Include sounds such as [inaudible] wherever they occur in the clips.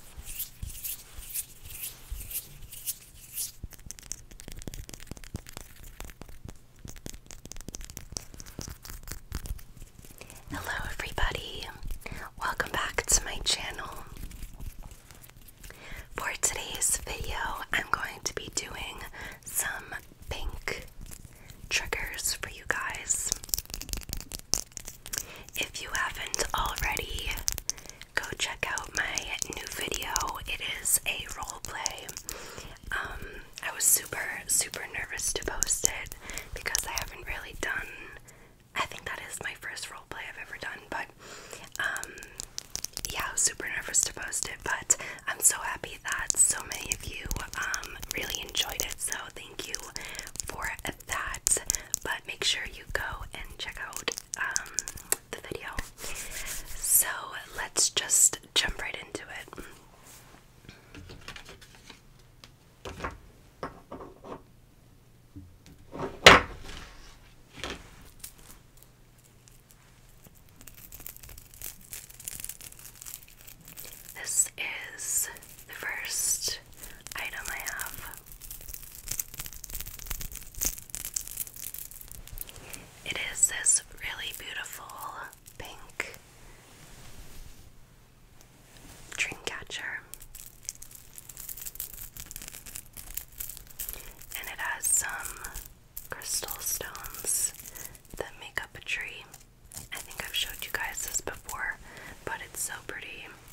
Hello, everybody, welcome back to my channel. For today's video, I'm going to be doing some pink triggers for you guys. If you haven't already, go check out my new video. It is a role play. Um, I was super, super nervous to post it because I haven't really done. I think that is my first role play I've ever done, but um, yeah, I was super nervous to post it. But I'm so happy that so many of you um really enjoyed it. So thank you for that. But make sure you go and check out um, the video. So let's just jump right into it. This is the first item I have. It is this really beautiful pink dream catcher. And it has some crystal stones that make up a tree. I think I've showed you guys this before, but it's so pretty.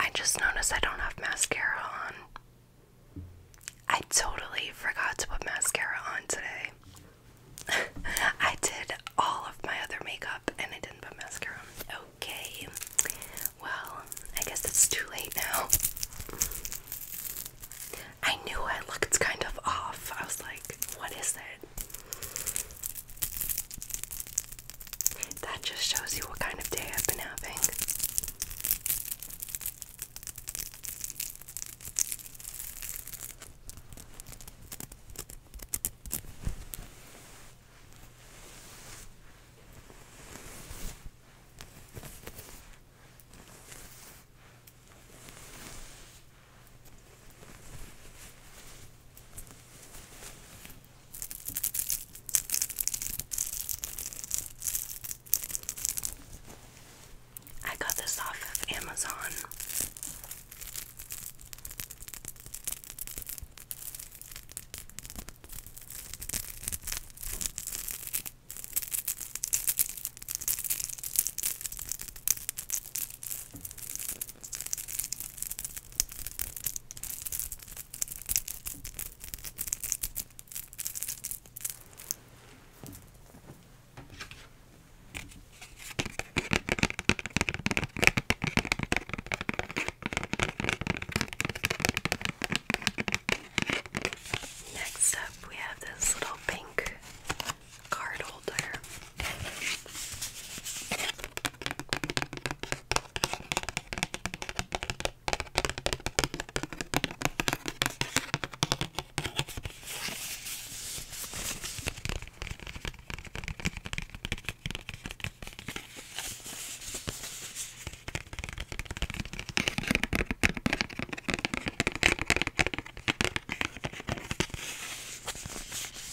I just noticed I don't have mascara on. I totally forgot to put mascara on today. [laughs] I did all of my other makeup and I didn't put mascara on. Okay. Well, I guess it's too late now. I knew I looked kind of off. I was like, what is it? That just shows you what kind of day I've been having. I got this off of Amazon. Next up, we have this little pink card holder.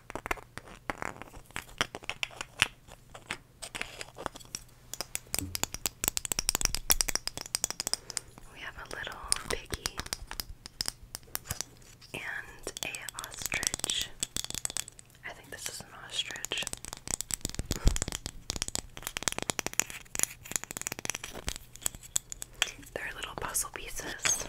We have a little piggy and a ostrich. I think this is an ostrich. They're little puzzle pieces.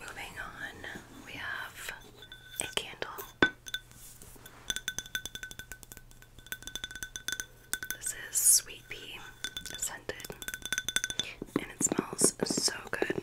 Moving on, we have a candle. This is sweet pea scented, and it smells so good.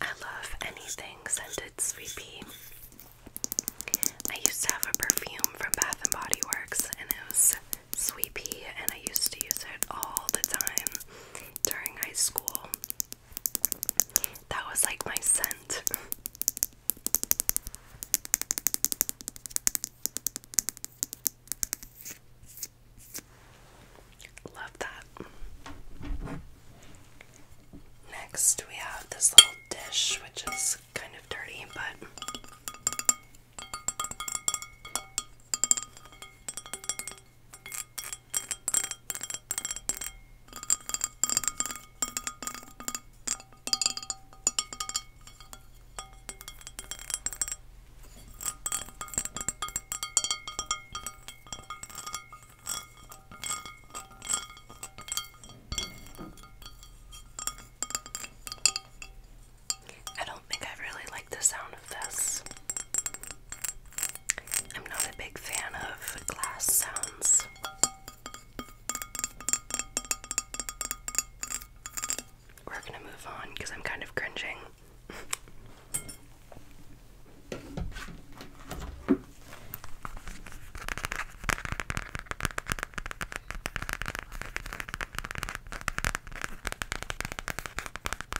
I love anything scented sweepy. I used to have a perfume from Bath and Body Works and it was sweepy and I used to use it all the time during high school. That was like my scent. Love that. Next, we have this little dish, which is kind of dirty, but. I don't think I really like the sound of this. I'm not a big fan of glass sounds. We're gonna move on because I'm kind of cringing.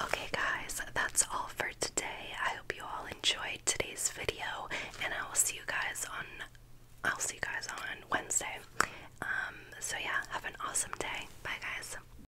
Okay, guys, that's all for today. I hope you all enjoyed today's video, and I will see you guys on. I'll see you guys on Wednesday. Um, so yeah, have an awesome day. Bye, guys.